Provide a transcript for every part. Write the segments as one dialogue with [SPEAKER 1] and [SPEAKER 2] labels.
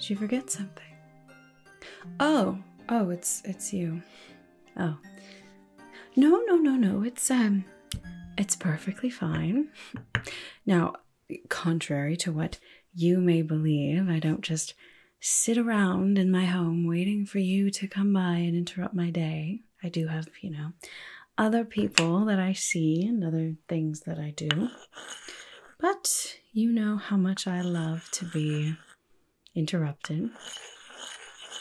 [SPEAKER 1] Did you forget something? Oh, oh, it's it's you. Oh. No, no, no, no. It's um it's perfectly fine. Now, contrary to what you may believe, I don't just sit around in my home waiting for you to come by and interrupt my day. I do have, you know, other people that I see and other things that I do. But you know how much I love to be interrupted.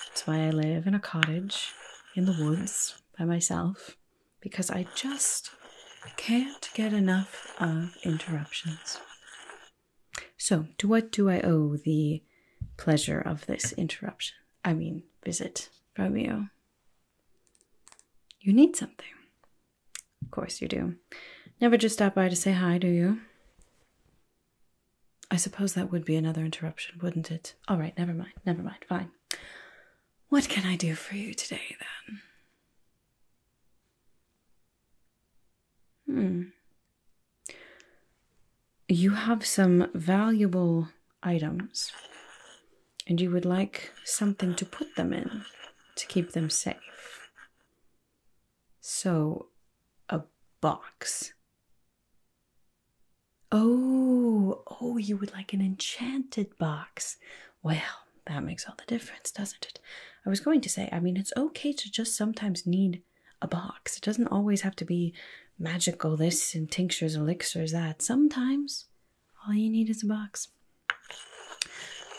[SPEAKER 1] That's why I live in a cottage in the woods by myself because I just can't get enough of interruptions. So, to what do I owe the pleasure of this interruption? I mean, visit, Romeo. You need something. Of course you do. Never just stop by to say hi, do you? I suppose that would be another interruption, wouldn't it? All right, never mind, never mind, fine. What can I do for you today then? Hmm. You have some valuable items, and you would like something to put them in to keep them safe. So, a box. Oh, oh, you would like an enchanted box. Well, that makes all the difference, doesn't it? I was going to say, I mean, it's okay to just sometimes need a box. It doesn't always have to be magical this and tinctures, elixirs, that. Sometimes all you need is a box.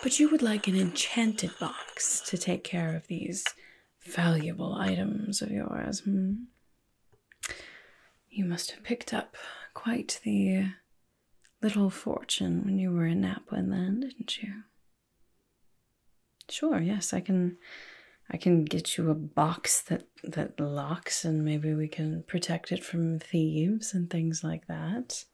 [SPEAKER 1] But you would like an enchanted box to take care of these valuable items of yours, hmm? You must have picked up quite the little fortune when you were in Napa then, didn't you? Sure, yes, I can I can get you a box that that locks and maybe we can protect it from thieves and things like that.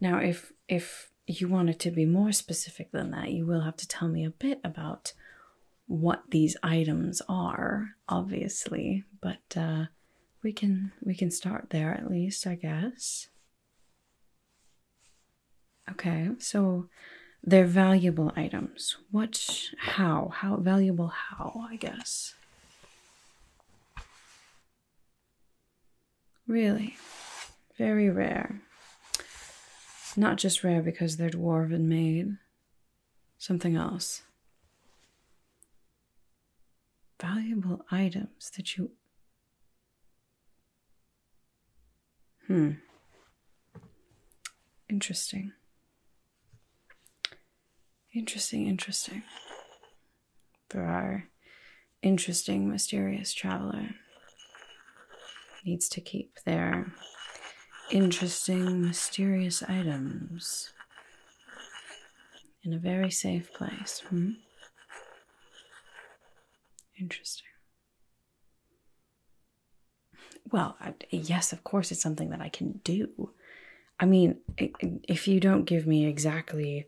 [SPEAKER 1] Now if if you wanted to be more specific than that, you will have to tell me a bit about what these items are, obviously, but uh, we can we can start there at least, I guess. Okay, so they're valuable items. What how? How valuable how, I guess. Really, very rare. Not just rare because they're dwarven made, Something else. Valuable items that you. Hmm. Interesting. Interesting, interesting. There are interesting, mysterious traveler needs to keep their interesting, mysterious items in a very safe place. Hmm? Interesting. Well, yes, of course, it's something that I can do. I mean, if you don't give me exactly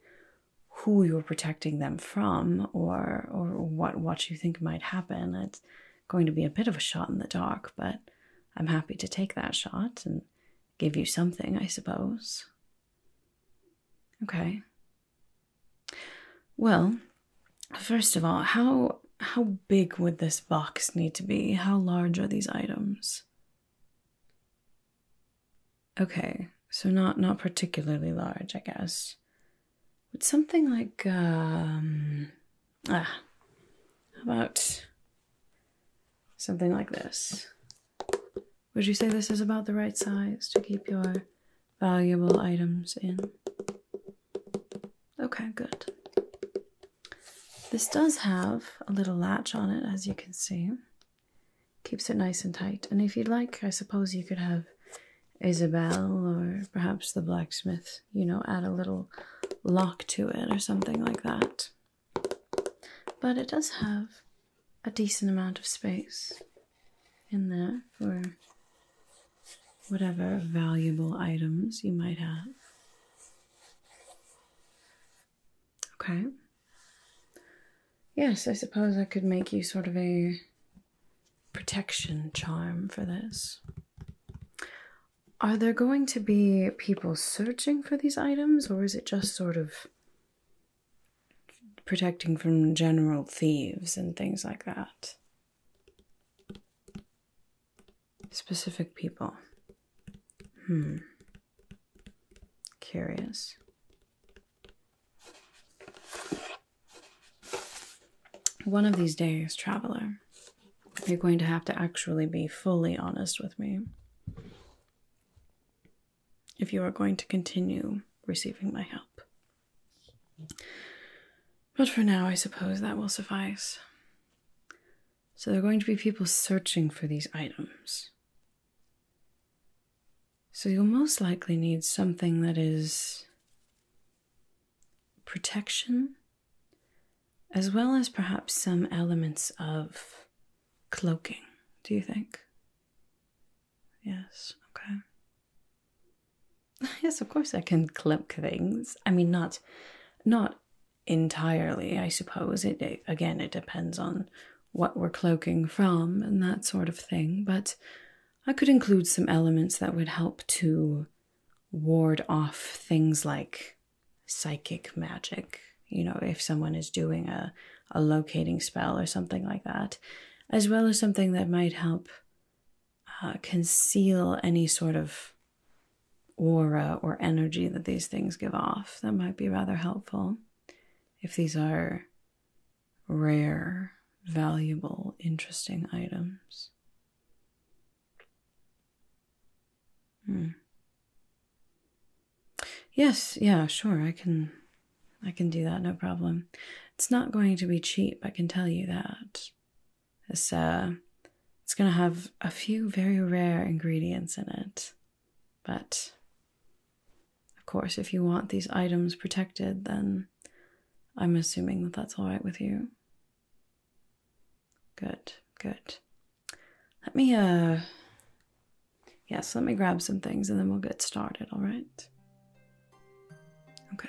[SPEAKER 1] who you're protecting them from or or what what you think might happen, it's going to be a bit of a shot in the dark, but I'm happy to take that shot and give you something, I suppose. Okay. Well, first of all, how how big would this box need to be? How large are these items? Okay, so not not particularly large, I guess. Would something like um ah, about Something like this. Would you say this is about the right size to keep your valuable items in? Okay, good. This does have a little latch on it, as you can see. Keeps it nice and tight. And if you'd like, I suppose you could have Isabel or perhaps the blacksmith, you know, add a little lock to it or something like that. But it does have a decent amount of space in there for whatever valuable items you might have. Okay. Yes, I suppose I could make you sort of a protection charm for this. Are there going to be people searching for these items, or is it just sort of protecting from general thieves and things like that. Specific people. Hmm. Curious. One of these days, traveler, you're going to have to actually be fully honest with me if you are going to continue receiving my help. But for now, I suppose that will suffice. So there are going to be people searching for these items. So you'll most likely need something that is protection, as well as perhaps some elements of cloaking, do you think? Yes, okay. yes, of course I can cloak things. I mean, not not entirely, I suppose. It, again, it depends on what we're cloaking from and that sort of thing, but I could include some elements that would help to ward off things like psychic magic, you know, if someone is doing a, a locating spell or something like that, as well as something that might help uh, conceal any sort of aura or energy that these things give off. That might be rather helpful if these are rare, valuable, interesting items. Hmm. Yes, yeah, sure. I can I can do that, no problem. It's not going to be cheap, I can tell you that. It's uh it's going to have a few very rare ingredients in it. But of course, if you want these items protected, then I'm assuming that that's all right with you. Good, good. Let me, uh, yes, let me grab some things and then we'll get started, all right? Okay.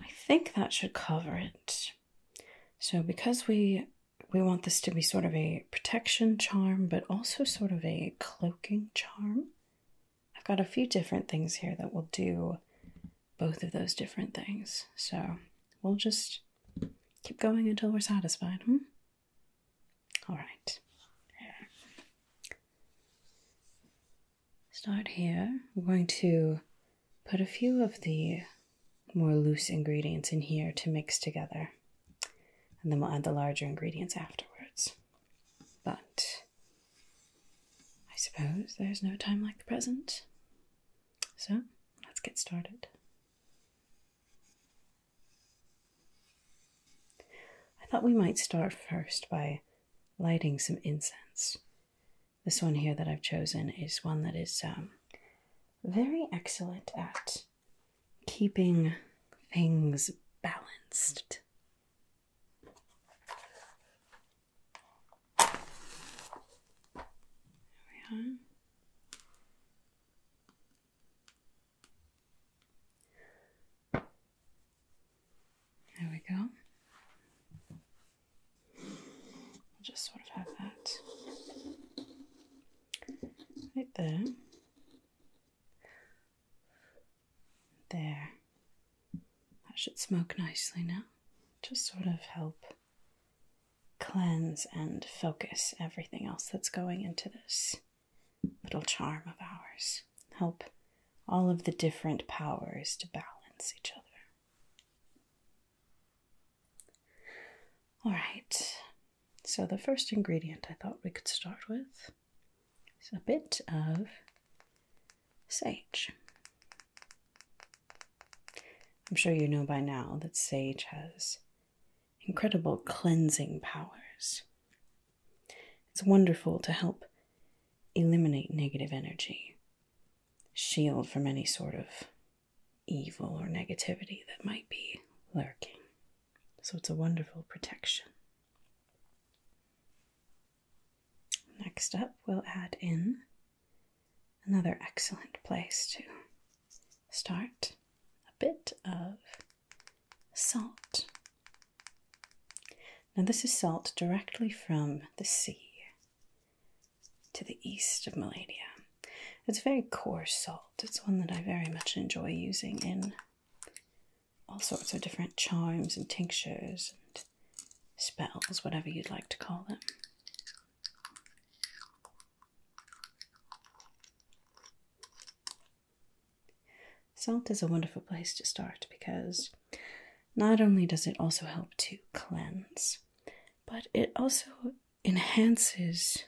[SPEAKER 1] I think that should cover it. So because we we want this to be sort of a protection charm, but also sort of a cloaking charm. I've got a few different things here that will do both of those different things. So we'll just keep going until we're satisfied, hmm? All right. Start here. We're going to put a few of the more loose ingredients in here to mix together. And then we'll add the larger ingredients afterwards. But I suppose there's no time like the present. So let's get started. I thought we might start first by lighting some incense. This one here that I've chosen is one that is um, very excellent at keeping things balanced. There we are. There we go. I'll just sort of have that right there. There. That should smoke nicely now. Just sort of help cleanse and focus everything else that's going into this little charm of ours. Help all of the different powers to balance each other. All right, so the first ingredient I thought we could start with is a bit of sage. I'm sure you know by now that sage has incredible cleansing powers. It's wonderful to help eliminate negative energy, shield from any sort of evil or negativity that might be lurking. So it's a wonderful protection. Next up, we'll add in another excellent place to start a bit of salt. Now, this is salt directly from the sea to the east of Maladia. It's very coarse salt. It's one that I very much enjoy using in all sorts of different charms and tinctures and spells, whatever you'd like to call them. Salt is a wonderful place to start because not only does it also help to cleanse, but it also enhances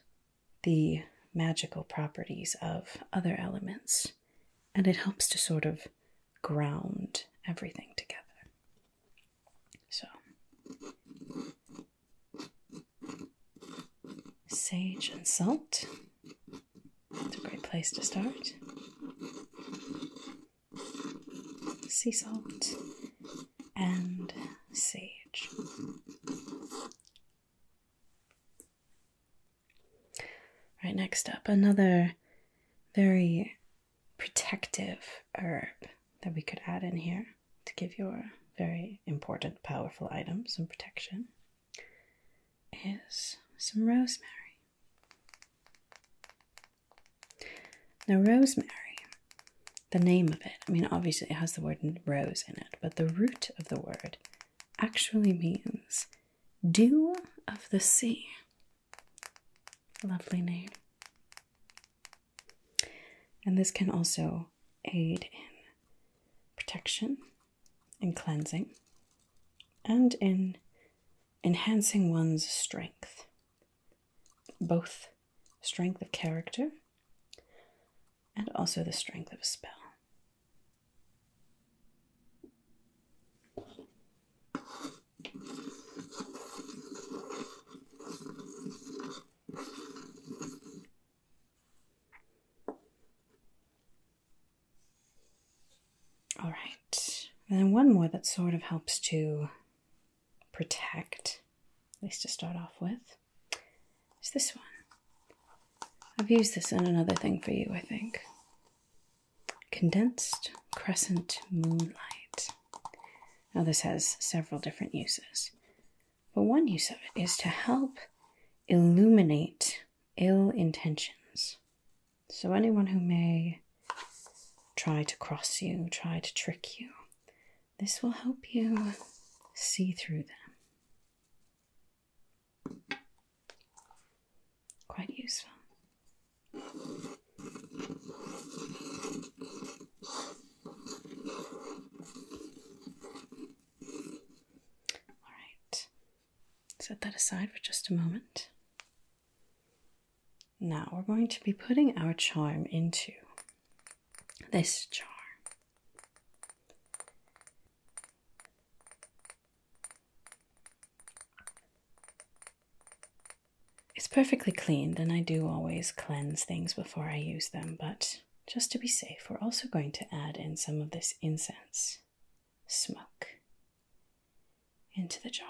[SPEAKER 1] the magical properties of other elements and it helps to sort of ground everything together. So, sage and salt it's a great place to start. Sea salt and sage. Right, next up, another very protective herb that we could add in here to give your very important, powerful item some protection is some rosemary. Now, rosemary, the name of it, I mean, obviously it has the word rose in it, but the root of the word actually means dew of the sea. Lovely name. And this can also aid in protection and cleansing and in enhancing one's strength, both strength of character and also the strength of spell. All right. And then one more that sort of helps to protect, at least to start off with, is this one. I've used this in another thing for you, I think. Condensed crescent moonlight. Now, this has several different uses, but one use of it is to help illuminate ill intentions. So, anyone who may try to cross you, try to trick you, this will help you see through them. Quite useful. All right, set that aside for just a moment. Now we're going to be putting our charm into this jar. It's perfectly cleaned, and I do always cleanse things before I use them, but just to be safe, we're also going to add in some of this incense smoke into the jar.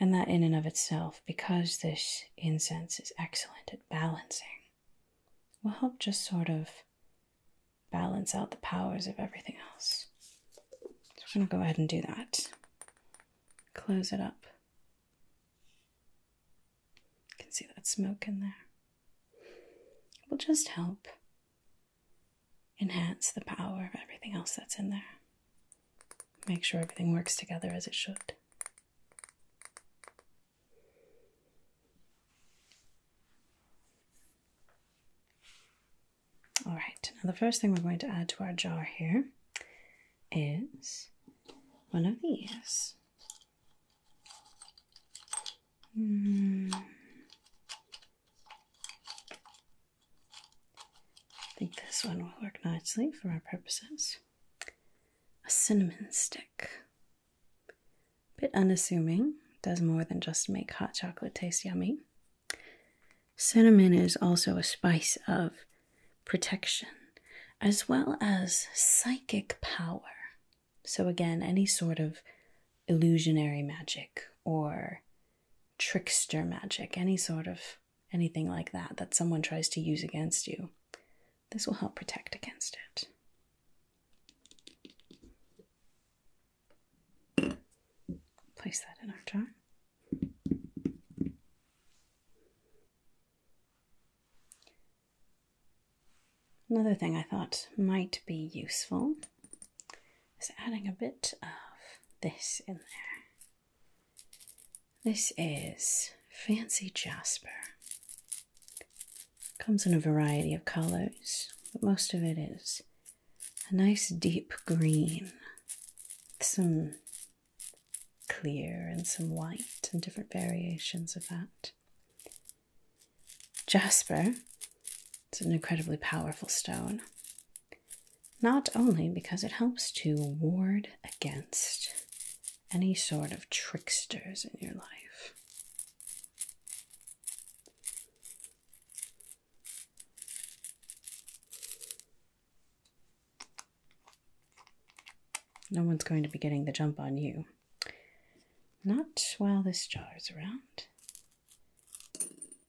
[SPEAKER 1] And that, in and of itself, because this incense is excellent at balancing, will help just sort of balance out the powers of everything else. So, we're going to go ahead and do that. Close it up. You can see that smoke in there. It will just help enhance the power of everything else that's in there. Make sure everything works together as it should. All right, now the first thing we're going to add to our jar here is one of these. Mm, I think this one will work nicely for our purposes. A cinnamon stick. Bit unassuming, does more than just make hot chocolate taste yummy. Cinnamon is also a spice of protection as well as psychic power. So, again, any sort of illusionary magic or trickster magic, any sort of anything like that that someone tries to use against you. This will help protect against it. Place that in our jar. Another thing I thought might be useful is adding a bit of this in there. This is Fancy Jasper. Comes in a variety of colors, but most of it is a nice deep green, some clear and some white, and different variations of that. Jasper it's an incredibly powerful stone, not only because it helps to ward against any sort of tricksters in your life. No one's going to be getting the jump on you. Not while this jar is around.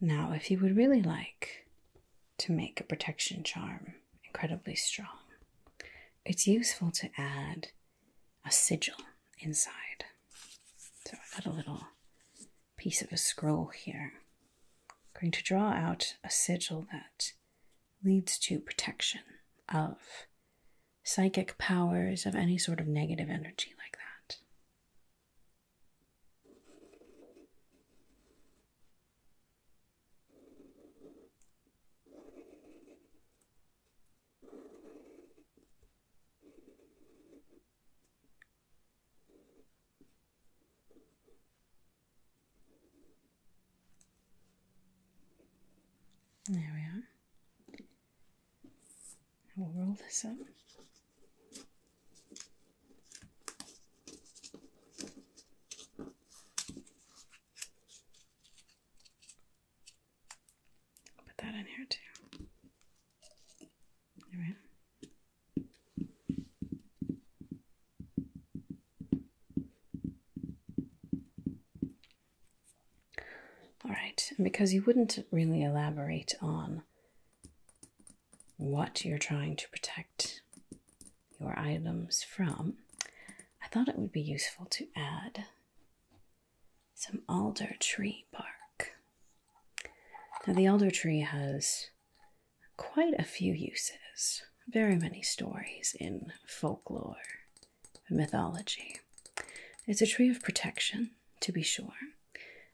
[SPEAKER 1] Now, if you would really like to make a protection charm incredibly strong, it's useful to add a sigil inside. So I have got a little piece of a scroll here. I'm going to draw out a sigil that leads to protection of psychic powers of any sort of negative energy like that. There we are. we will roll this up put that in here too. All right. All right, because you wouldn't really elaborate on what you're trying to protect your items from, I thought it would be useful to add some alder tree bark. Now, the alder tree has quite a few uses, very many stories in folklore mythology. It's a tree of protection, to be sure,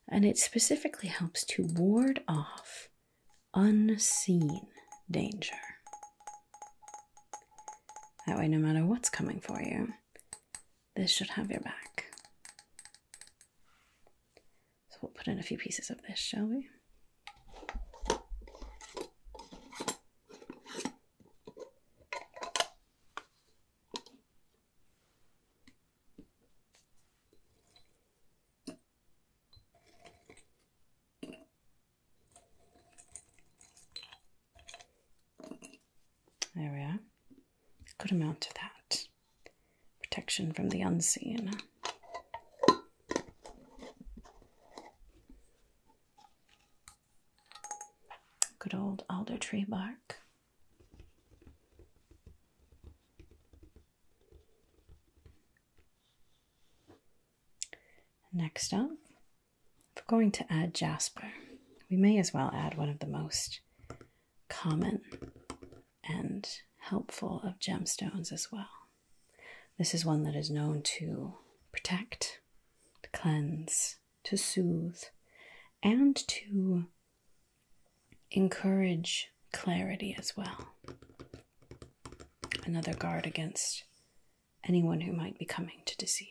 [SPEAKER 1] and it specifically helps to ward off unseen danger. That way, no matter what's coming for you, this should have your back. So, we'll put in a few pieces of this, shall we? There we are. Good amount of that. Protection from the unseen. Good old alder tree bark. Next up, if we're going to add jasper, we may as well add one of the most common and helpful of gemstones as well. This is one that is known to protect, cleanse, to soothe, and to encourage clarity as well. Another guard against anyone who might be coming to deceive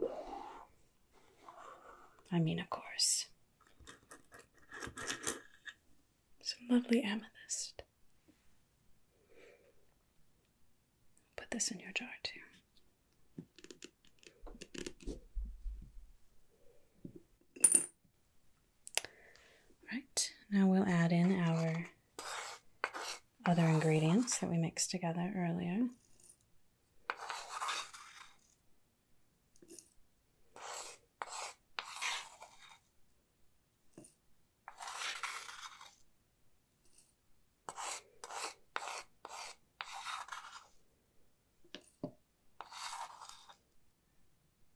[SPEAKER 1] you. I mean, of course, some lovely amethyst. Put this in your jar too. Right, now we'll add in our other ingredients that we mixed together earlier.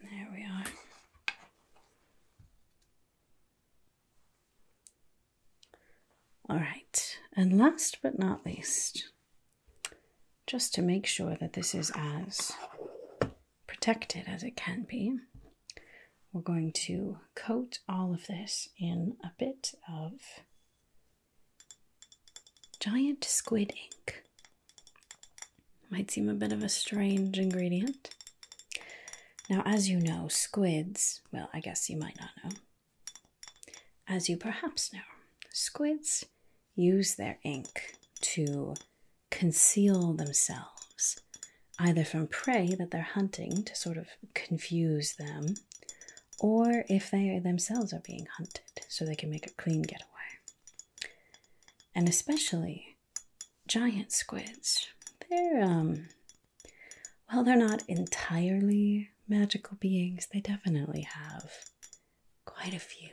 [SPEAKER 1] There we are. All right, and last but not least, just to make sure that this is as protected as it can be, we're going to coat all of this in a bit of giant squid ink. Might seem a bit of a strange ingredient. Now, as you know, squids, well, I guess you might not know, as you perhaps know, squids use their ink to conceal themselves either from prey that they're hunting to sort of confuse them, or if they themselves are being hunted so they can make a clean getaway. And especially giant squids. They're, um, well, they're not entirely magical beings, they definitely have quite a few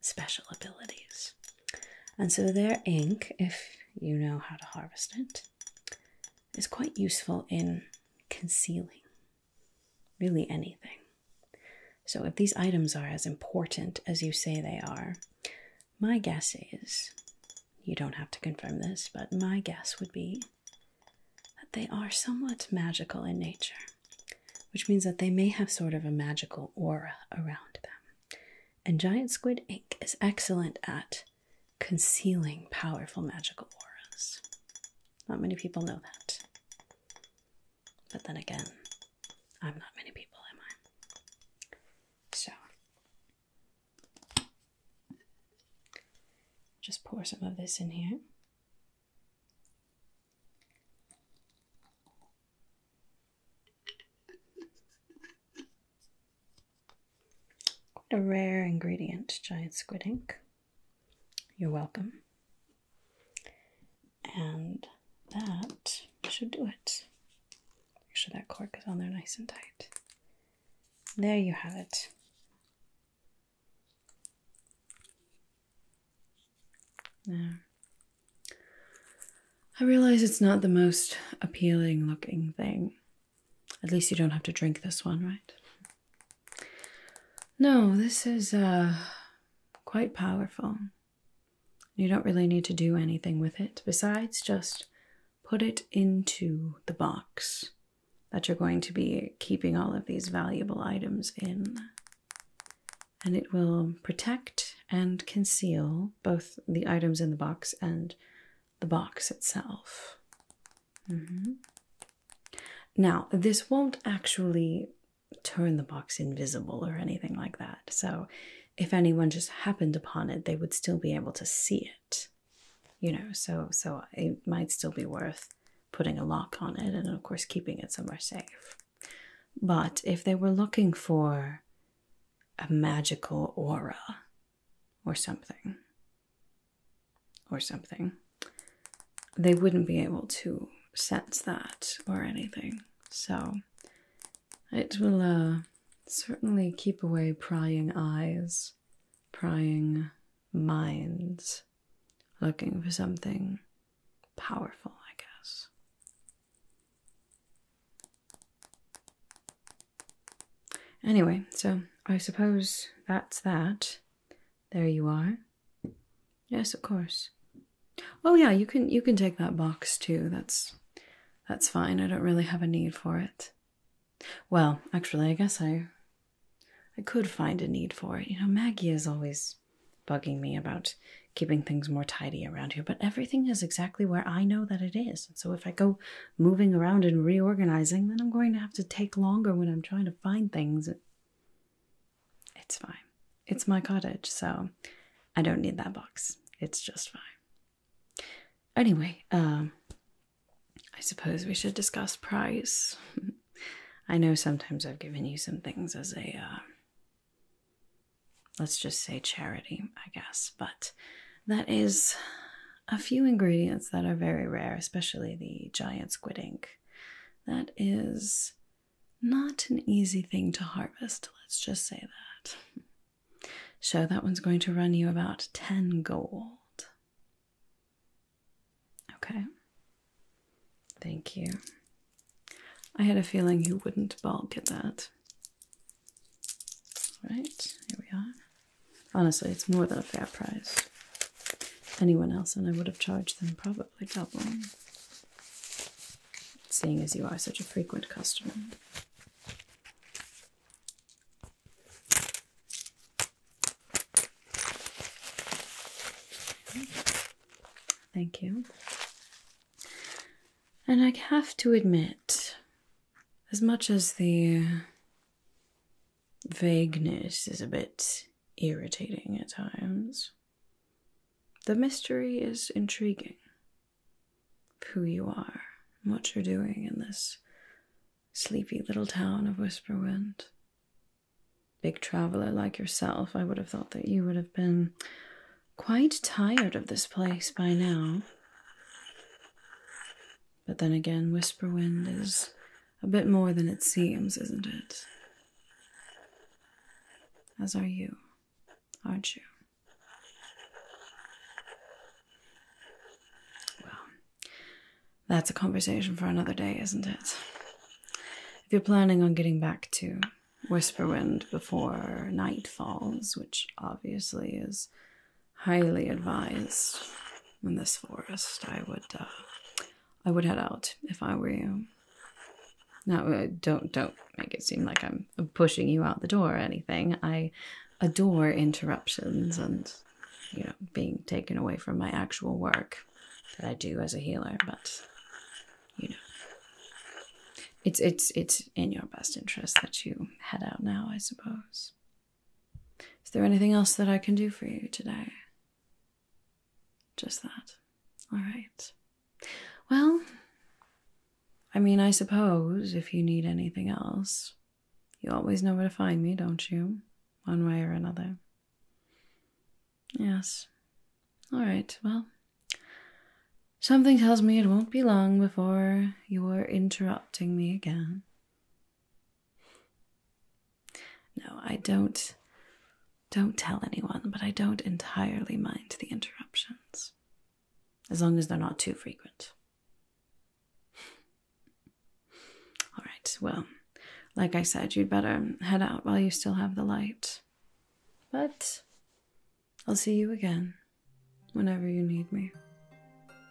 [SPEAKER 1] special abilities. And so their ink, if you know how to harvest it, is quite useful in concealing really anything. So, if these items are as important as you say they are, my guess is you don't have to confirm this, but my guess would be that they are somewhat magical in nature, which means that they may have sort of a magical aura around them. And giant squid ink is excellent at concealing powerful magical auras. Not many people know that. But then again, I'm not many people, am I? So, just pour some of this in here. Quite a rare ingredient, giant squid ink. You're welcome. And that should do it. Make sure that cork is on there nice and tight. There you have it. There. I realize it's not the most appealing looking thing, at least you don't have to drink this one, right? No, this is uh, quite powerful. You don't really need to do anything with it besides just put it into the box that you're going to be keeping all of these valuable items in. And it will protect and conceal both the items in the box and the box itself. Mm-hmm. Now, this won't actually turn the box invisible or anything like that, so if anyone just happened upon it, they would still be able to see it. You know, so so it might still be worth putting a lock on it and of course keeping it somewhere safe. But if they were looking for a magical aura or something, or something, they wouldn't be able to sense that or anything. So it will uh, certainly keep away prying eyes, prying minds, looking for something powerful, I guess. Anyway, so I suppose that's that. There you are. Yes, of course. Oh yeah, you can you can take that box too. That's that's fine. I don't really have a need for it. Well, actually, I guess I I could find a need for it. You know, Maggie is always bugging me about keeping things more tidy around here, but everything is exactly where I know that it is. so if I go moving around and reorganizing, then I'm going to have to take longer when I'm trying to find things. It's fine. It's my cottage, so I don't need that box. It's just fine. Anyway, um, I suppose we should discuss price. I know sometimes I've given you some things as a, uh, let's just say charity, I guess, but that is a few ingredients that are very rare, especially the giant squid ink. That is not an easy thing to harvest, let's just say that. So that one's going to run you about 10 gold. Okay. Thank you. I had a feeling you wouldn't balk at that. All right, here we are. Honestly, it's more than a fair price. Anyone else and I would have charged them probably double. Seeing as you are such a frequent customer. Thank you. And I have to admit, as much as the vagueness is a bit irritating at times. The mystery is intriguing. Who you are, what you're doing in this sleepy little town of Whisperwind. Big traveler like yourself, I would have thought that you would have been quite tired of this place by now. But then again, Whisperwind is a bit more than it seems, isn't it? As are you, aren't you? Well, that's a conversation for another day, isn't it? If you're planning on getting back to Whisperwind before night falls, which obviously is highly advised in this forest. I would, uh, I would head out if I were you. Now, uh, don't don't make it seem like I'm pushing you out the door or anything. I adore interruptions and you know being taken away from my actual work that I do as a healer, but you know it's it's it's in your best interest that you head out now, I suppose. Is there anything else that I can do for you today? Just that. All right. Well, I mean, I suppose if you need anything else, you always know where to find me, don't you? One way or another. Yes. All right, well, something tells me it won't be long before you're interrupting me again. No, I don't. Don't tell anyone, but I don't entirely mind the interruptions. As long as they're not too frequent. All right, well, like I said, you'd better head out while you still have the light. But I'll see you again whenever you need me.